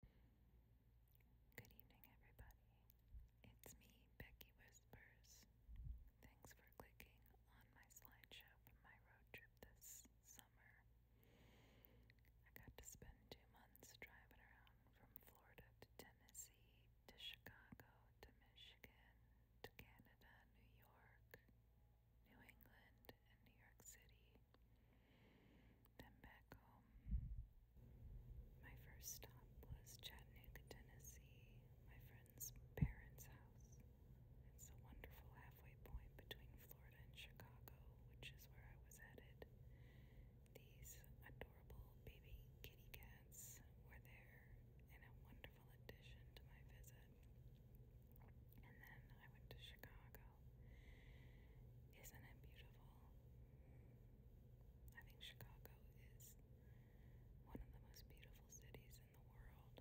Good evening, everybody. It's me, Becky Whispers. Thanks for clicking on my slideshow from my road trip this summer. I got to spend two months driving around from Florida to Tennessee to Chicago to Michigan to Canada, New York, New England, and New York City. Then back home. My first stop was Chattanooga, Tennessee, my friend's parents' house. It's a wonderful halfway point between Florida and Chicago, which is where I was headed. These adorable baby kitty cats were there and a wonderful addition to my visit. And then I went to Chicago isn't it beautiful? I think Chicago is one of the most beautiful cities in the world,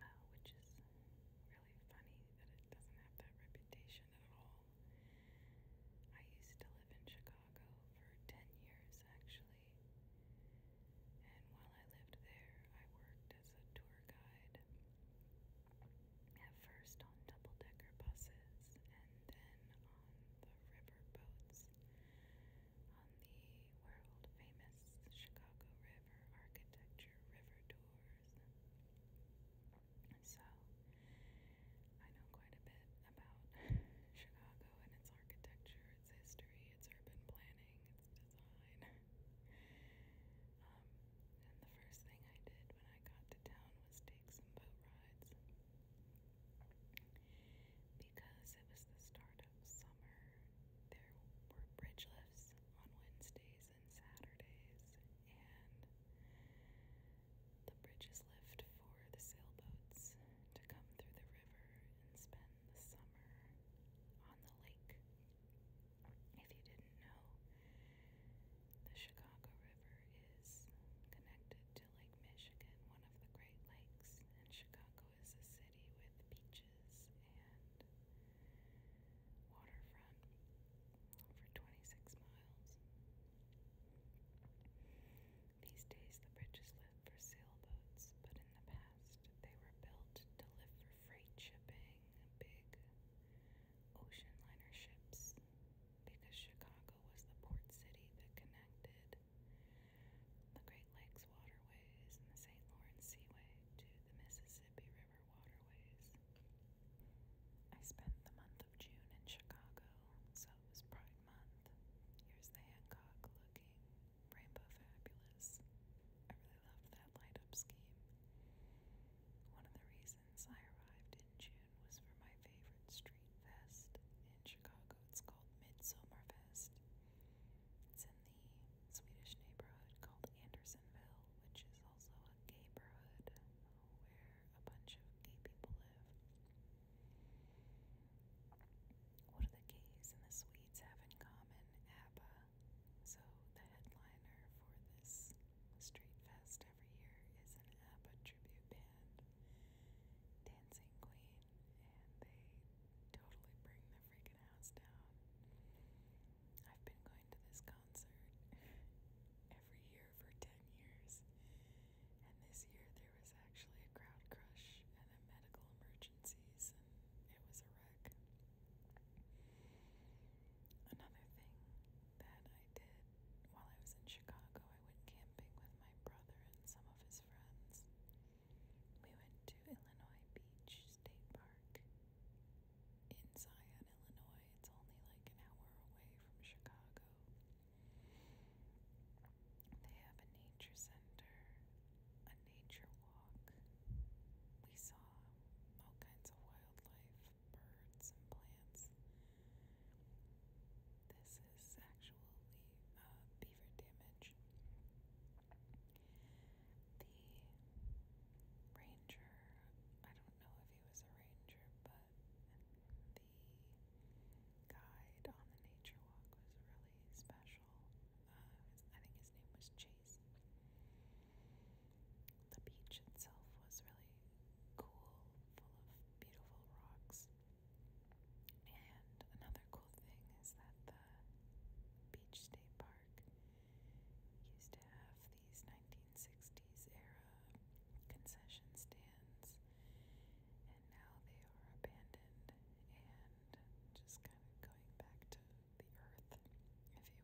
uh, which is really funny that it doesn't have that reputation at all. I used to live in Chicago for 10 years actually, and while I lived there, I worked as a tour guide at first on double decker buses and then on the river on the world famous Chicago River Architecture River Tours. so I know quite a bit about Chicago and its architecture, its history, its urban planning, its design. Um, and the first thing I did when I got to town was take some boat rides. Because it was the start of summer, there were bridge lifts on Wednesdays and Saturdays, and the bridges lift for the sailboats to come through the river and spend the summer on the lake. If you didn't know, the Chicago River is connected to Lake Michigan, one of the Great Lakes, and Chicago is a city with beaches and waterfront for 26 miles. These days, the bridges live for sailboats, but in the past, they were built to live for freight shipping, big ocean liner ships because Chicago was the port city that connected the Great Lakes waterways and the St. Lawrence Seaway to the Mississippi River waterways. I spent the month of June in Chicago, so it was Pride Month. Here's the Hancock looking Rainbow Fabulous I really loved that light up scheme. One of the reasons I arrived in June was for my favorite street fest in Chicago. It's called Midsummer Fest. It's in the Swedish neighborhood called Andersonville, which is also a gay neighborhood where a bunch of gay people live. What do the gays and the Swedes have in common? ABBA so the headliner for this street fest every year is an ABBA tribute band, Dancing Queen, and they totally bring the freaking house down. I've been going to this concert every year for 10 years, and this year there was actually a crowd crush and a medical emergencies, and it was a wreck. Another thing that I did while I was in Chicago, I went camping with my brother and some of his friends. We went to Illinois Beach State Park in Zion, Illinois. It's only like an hour away from Chicago. They have a nature center, a nature we saw all kinds of wildlife, birds, and plants. This is actually uh, beaver damage. The ranger, I don't know if he was a ranger, but the guide on the nature walk was really special. Uh, I think his name was Jake trees. The beach itself was really cool, full of beautiful rocks. And another cool thing is that the Beach State Park used to have these 1960s era concession stands, and now they are abandoned and just kind of going back to the earth, if you will.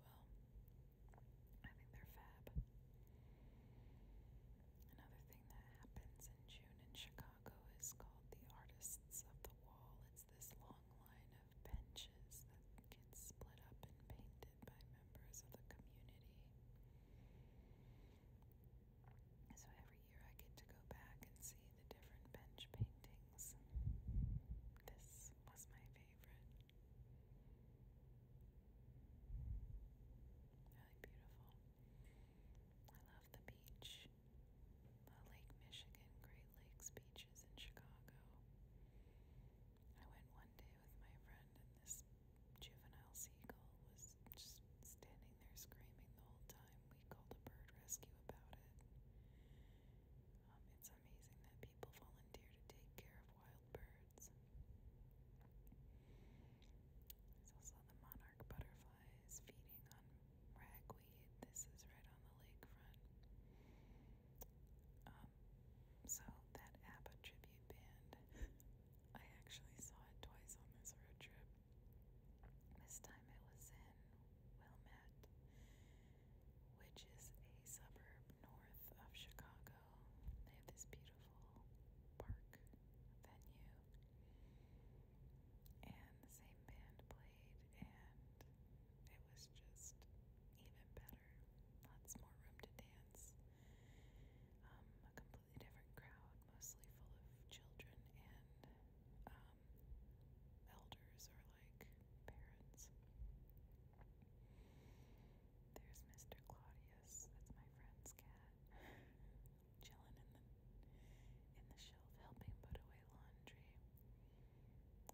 I think they're fab. Another thing that happens in June in Chicago is called the Artists of the Wall. It's this long line of benches that gets split up and painted by members of the community. So every year I get to go back and see the different bench paintings. This was my Really beautiful. I love the beach. The Lake Michigan, Great Lakes beaches in Chicago. I went one day with my friend, and this juvenile seagull was just standing there screaming the whole time. We called a bird rescue about it. Um, it's amazing that people volunteer to take care of wild birds. There's also the monarch butterflies feeding on ragweed. This is right on the lakefront. Um, so that ABBA tribute band, I actually saw it twice on this road trip. This time it was in Wilmette, which is a suburb north of Chicago. They have this beautiful park venue. And the same band played, and it was just even better. Lots more room to dance. Um, a completely different crowd, mostly full of children and um, um, elders or like parents. There's Mr. Claudius. That's my friend's cat, chilling in the in the shelf, helping put away laundry.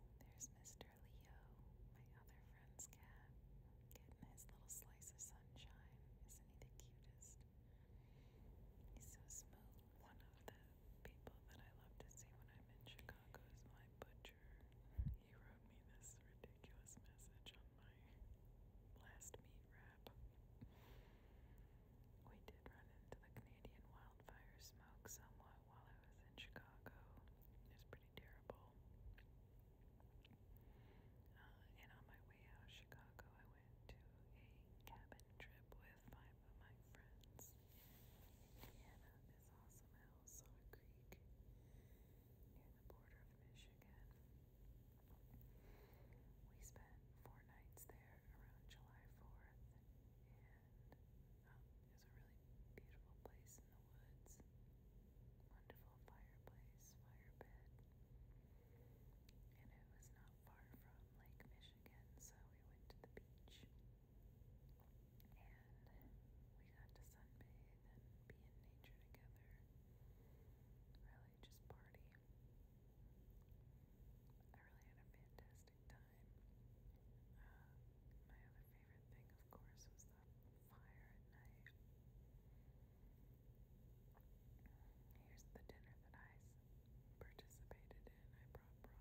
There's Mr. Leo, my other friend's cat, getting his little slice of sunshine. Isn't he the cutest? He's so smooth. One of the people that I love to see when I'm in Chicago. Chicago's my butcher. He wrote me this ridiculous message on my last meat wrap. We did run into the Canadian wildfire smoke somewhat while I was in Chicago. It was pretty terrible. Uh, and on my way out of Chicago, I went to a cabin trip with five of my friends. Indiana is also a creek near the border of Michigan. We spent four nights there around July 4th, and it was a really beautiful place in the woods. Wonderful fireplace, fire pit. And it was not far from Lake Michigan, so we went to the beach. And we got to sunbathe and be in nature together. Really just party. I really had a fantastic time. Uh, my other favorite thing, of course, was the fire at night. Here's the dinner that I participated in. I brought broth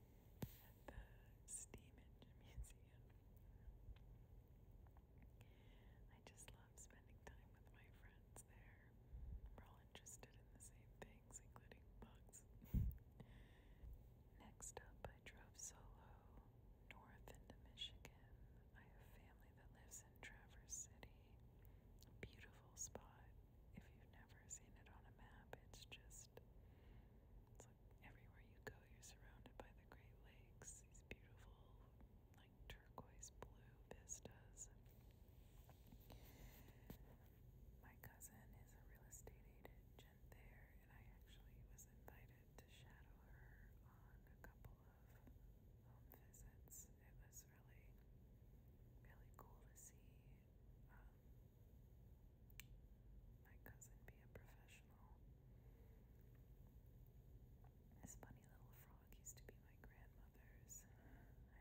the Steam Museum. I just love spending time with my friends there. We're all interested in the same things, including bugs. Next up, I drove solo north into Michigan. I have family that lives in Traverse City. beautiful spot. If you've never seen it on a map, it's just it's like everywhere you go, you're surrounded by the Great Lakes, these beautiful, like turquoise blue vistas. My cousin is a real estate agent there, and I actually was invited to shadow her on a couple of home visits. It was really, really cool to see. Um, my cousin be a professional. This funny little frog used to be my grandmother's. I miss her.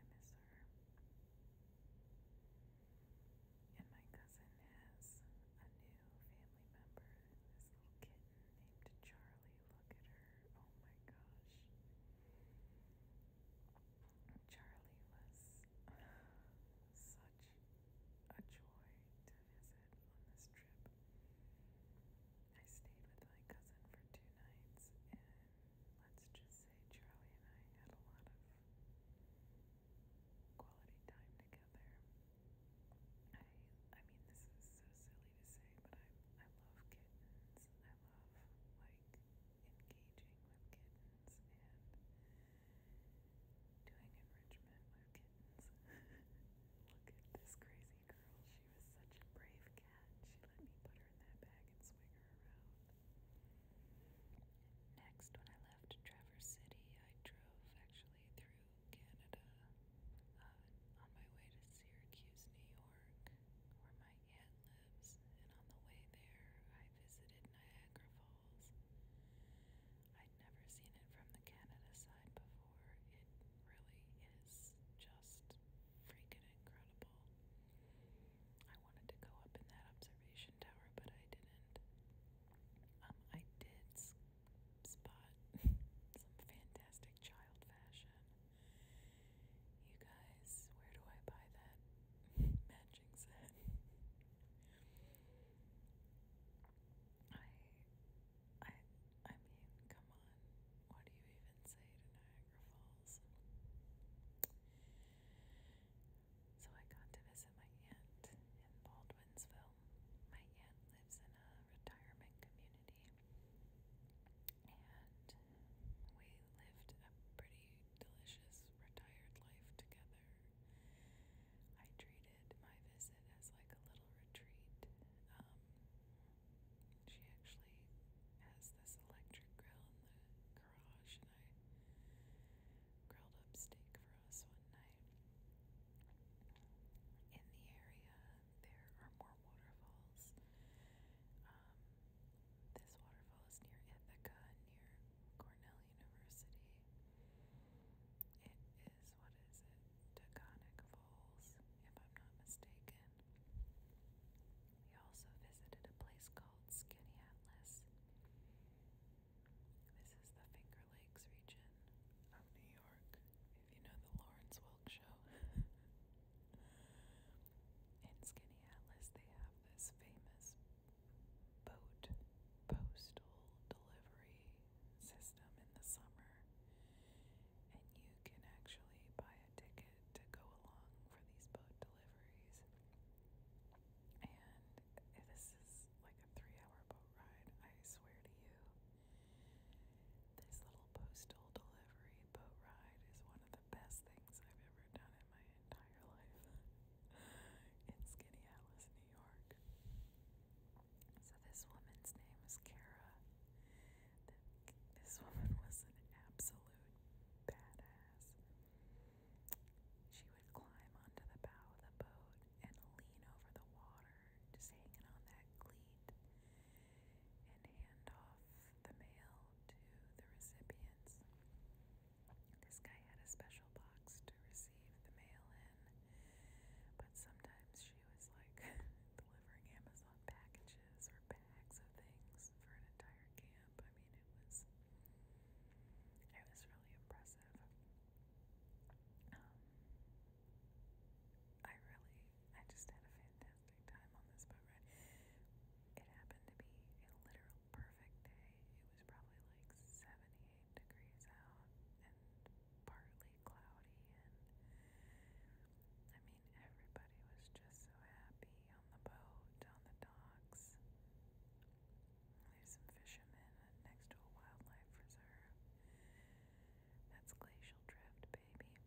And my cousin has a new family member, this little kitten named Charlie. Look at her. Oh my gosh. Charlie was such a joy to visit on this trip. I stayed with my cousin for two nights, and let's just say Charlie and I had a lot of quality time together. I I mean this is so silly to say, but I I love kittens. I love like engaging with kittens doing enrichment with kittens. Look at this crazy girl. She was such a brave cat. She let me put her in that bag and swing her around. Next, when I left Traverse City, I drove actually through Canada uh, on my way to Syracuse, New York, where my aunt lives. And on the way there, I visited Niagara Falls. I'd never seen it from the Canada side before. It really is just freaking incredible. I wanted to go up in that observation tower, but I didn't. Um, I did spot some fantastic child fashion. You guys, where do I buy that matching set? I, I, I mean, come on. What do you even say to Niagara Falls? So I got to visit my aunt in Baldwinsville. My aunt lives in a retirement community, and we lived a pretty delicious retired life together. I treated my visit as like a little retreat. Um, she actually has this electric grill in the garage, and I grilled up steak for us one night. In the area, there are more waterfalls. Um, this waterfall is near Ithaca, near Cornell University. It is, what is it? Taconic Falls, if I'm not mistaken. We also visited a place called Skinny Atlas. This is the Finger Lakes region of New York, if you know the Lawrence Welk show. In Skinny Atlas, they have this famous boat postal delivery system in the summer, and you can actually buy a ticket to go along for these boat deliveries. And this is like a three hour boat ride, I swear to you. This little postal delivery boat ride is one of the best things I've ever done in my entire life in Skinny Alice, New York. So this woman's name was Kara. This woman was an absolute badass. She would climb onto the bow of the boat and lean over the water, just hanging on that cleat, and hand off the mail to the recipients. This guy had a special box to receive the mail in, but sometimes she was like delivering Amazon packages or bags of things for an entire camp. I mean, it was it was really impressive. Um, I really, I just had a fantastic time on this boat ride. It happened to be a literal perfect day. It was probably like 78 degrees out and partly cloudy and I mean everybody was just so happy on the boat, on the docks. There's some fishermen next to a wildlife reserve. That's glacial drift, baby.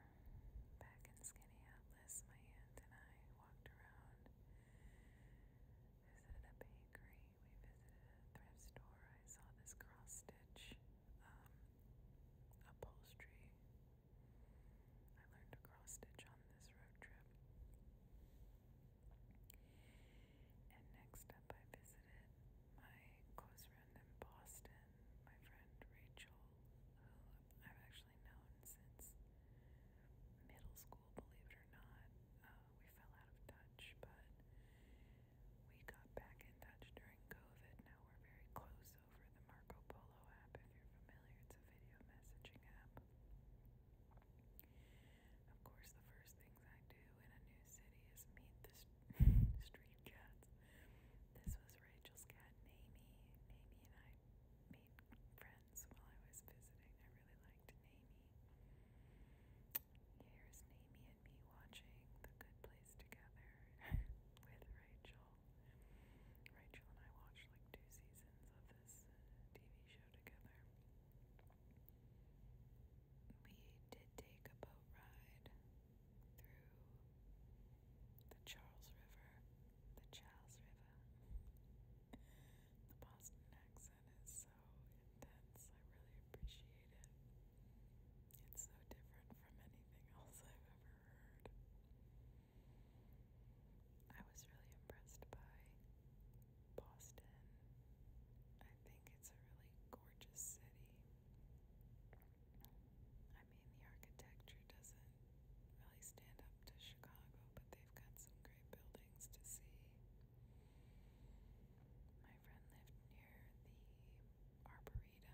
Back in Skinny Atlas, my aunt and I walked around visited a bakery, we visited a thrift store. I saw this cross stitch um, upholstery. I learned to cross stitch on this road trip. And next up, I visited my close friend in Boston, my friend Rachel, who I've actually actually known since middle school, believe it or not. Uh, we fell out of touch, but we got back in touch during COVID. Now we're very close over the Marco Polo app, if you're familiar. It's a video messaging app. Of course, the first things I do in a new city is meet the street cats. This was Rachel's cat, Namie. Namie and I made friends while I was visiting. I really liked Naomi. Here's Naomi and me watching The Good Place together with Rachel. Rachel and I watched like two seasons of this uh, TV show together. We did take a boat ride through the Charles River, the Charles River. The Boston accent is so intense. I really appreciate it. It's so different from anything else I've ever heard. I was really impressed by Boston. I think it's a really gorgeous city. I mean, the architecture doesn't really stand up to Chicago, but they've got some great buildings to see. My friend lived near the Arboretum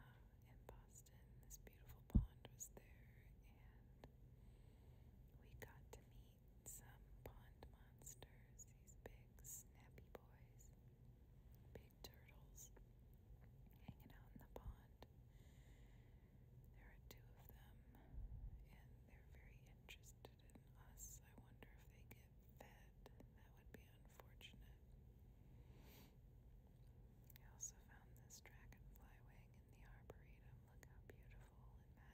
uh, in Boston. This beautiful pond was there, and we got to meet some pond monsters, these big snappy boys, big turtles hanging out in the pond. There are two of them, and they're very interested in us. I wonder if they get fed. That would be unfortunate. I also found this dragonfly wing in the arboretum.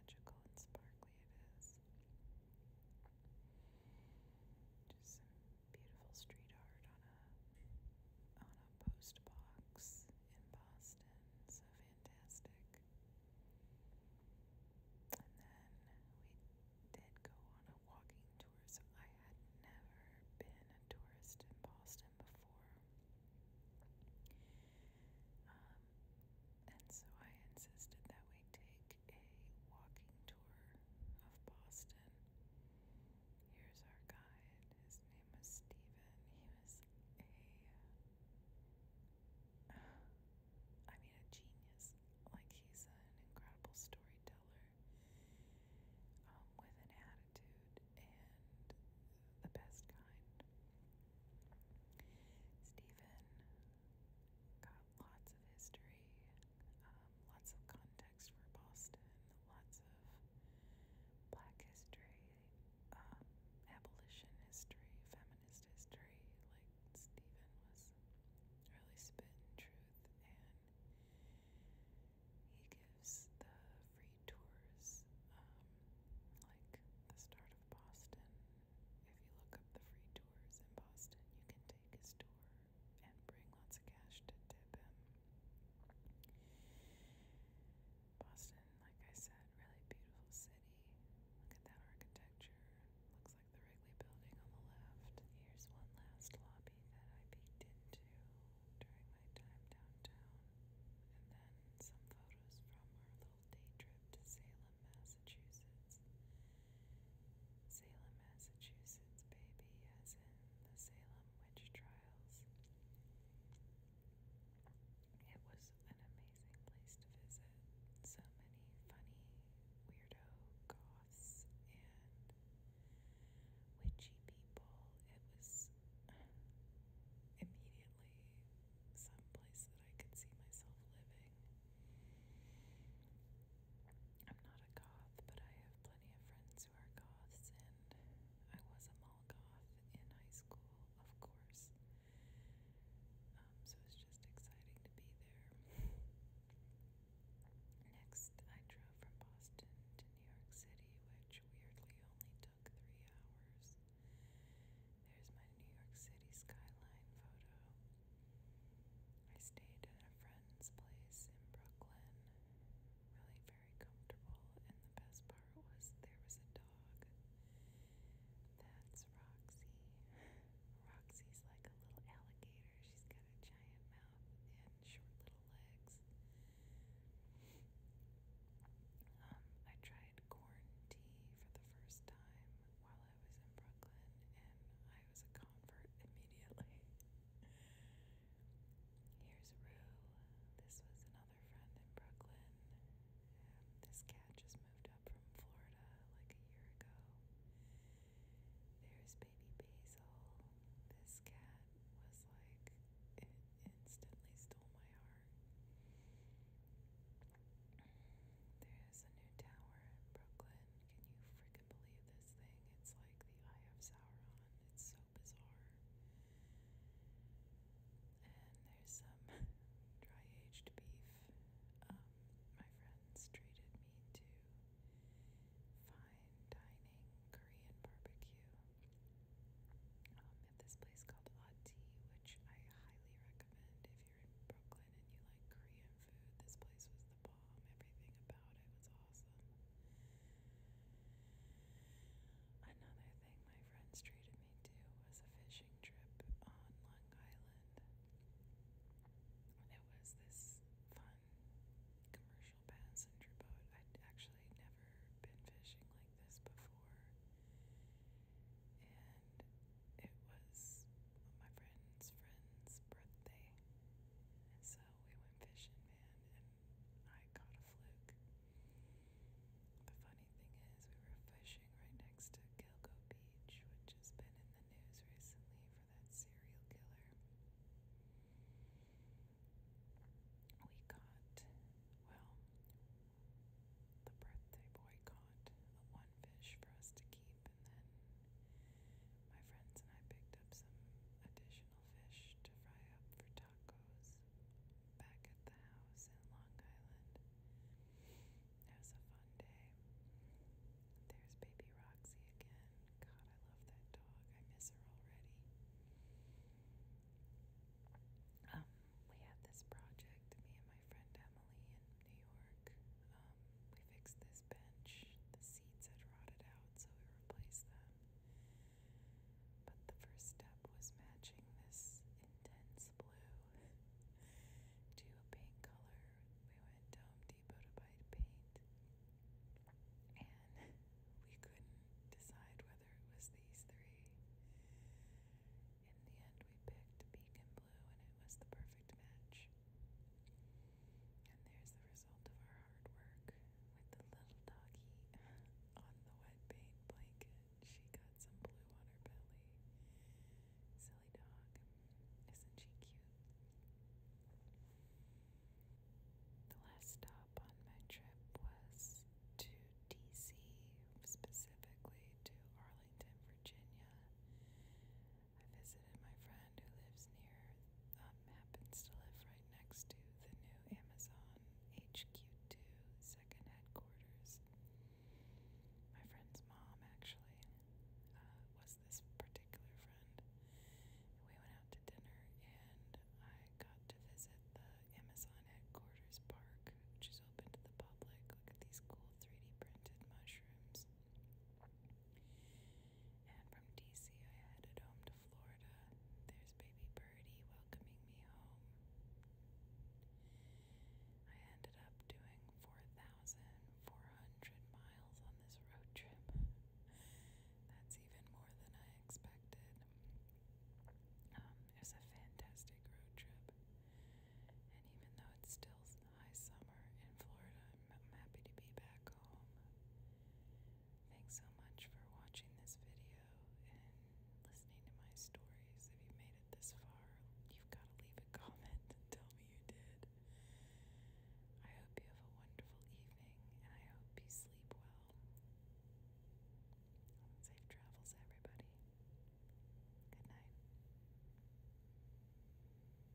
Look how beautiful and magical and sparkly it is. Just some beautiful street art on a on post box in Boston. So fantastic. And then we did go on a walking tour. So I had never been a tourist in Boston before. Um, and so I insisted that we take a walking tour of Boston. Here's our guide. His name was Steven. He was a. Uh, I mean, a genius. Like, he's an incredible storyteller um, with an attitude and the best kind. Stephen got lots of history, um, lots of content context for Boston, lots of black history, um, abolition history, feminist history. Like Stephen was really spitting truth, and he gives the free tours, um, like the start of Boston. If you look up the free tours in Boston, you can take his tour and bring lots of cash to tip him. Boston, like I said, really beautiful city. Look at that architecture. Looks like the Wrigley Building on the left. Here's one last lobby that I peeked into during my time downtown. And then some photos from our little day trip to Salem, Massachusetts. Salem, Massachusetts, baby, as in the Salem witch trials. It was an amazing place to visit. So many funny, weirdo goths and witchy people. It was immediately some place that I could see myself living. I'm not a goth, but I have plenty of friends friends who are goths, and I was a mall goth in high school, of course. Um, so it's just exciting to be there. Next, I drove from Boston to New York City, which weirdly only took three hours. There's my New York City skyline photo. I stayed at a friend's place in Brooklyn really very comfortable. And the best part was there was a dog. That's Roxy. Roxy's like a little alligator. She's got a giant mouth and short little legs. Um, I tried corn tea for the first time while I was in Brooklyn, and I was a convert immediately. Here's Rue. This was another friend in Brooklyn. Um, this cat just moved up from Florida like a year ago. There's baby Basil. This cat was like, it instantly stole my heart. There's a new tower in Brooklyn. Can you freaking can believe this thing. It's like the Eye of Sauron. It's so bizarre. And there's some dry aged beef. Um, my friends treated me to fine dining Korean barbecue um, at this place called Ati, which I highly recommend if you're in Brooklyn and you like Korean food. This place was Everything about it was awesome. Another thing my friends treated me to was a fishing trip on Long Island. It was this fun commercial passenger boat. I'd actually never been fishing like this before. And it was my friend's friend's birthday. And we went fishing, man, and I caught a fluke. The funny thing is, we were fishing right next to Gilgo Beach, which has been in the news recently for that serial killer. We caught, well, the birthday boy caught a one fish for us to keep, and then my friends and I picked up some additional fish to fry up for tacos back at the house in Long Island. It was a fun day. There's baby Roxy again. God, I love that dog. I miss her already. Um, we had this project, me and my friend Emily in New York, um, we fixed this bench. The seats had rotted out, so we replaced them. But the first step was matching this intense blue to a paint color. We went to Home Depot paint, and we couldn't decide whether it was these three. In the end, we picked beacon blue, and it was the perfect match. And there's the result of our hard work with the little doggy on the wet paint blanket. She got some blue on her belly. Silly dog. Isn't she cute? The last stop on my trip was to DC, specifically to Arlington, Virginia. I visited my friend who lives near, um, happens to live right next to the new Amazon HQ2 second headquarters. My friend's mom actually uh, was this particular friend. we went out to dinner and I got to visit the Amazon headquarters park, which is open to the public. Look at these cool 3D printed mushrooms. And from DC, I headed home to Florida. There's baby Birdie welcoming me home. I ended up doing 4,400 miles on this road trip. That's even more than I expected. Um, it was a fantastic road trip. And even though it's still high summer in Florida, I'm happy to be back Thanks so much for watching this video and listening to my stories. If you made it this far, you've got to leave a comment tell me you did. I hope you have a wonderful evening and I hope you sleep well. Safe travels, everybody. Good night.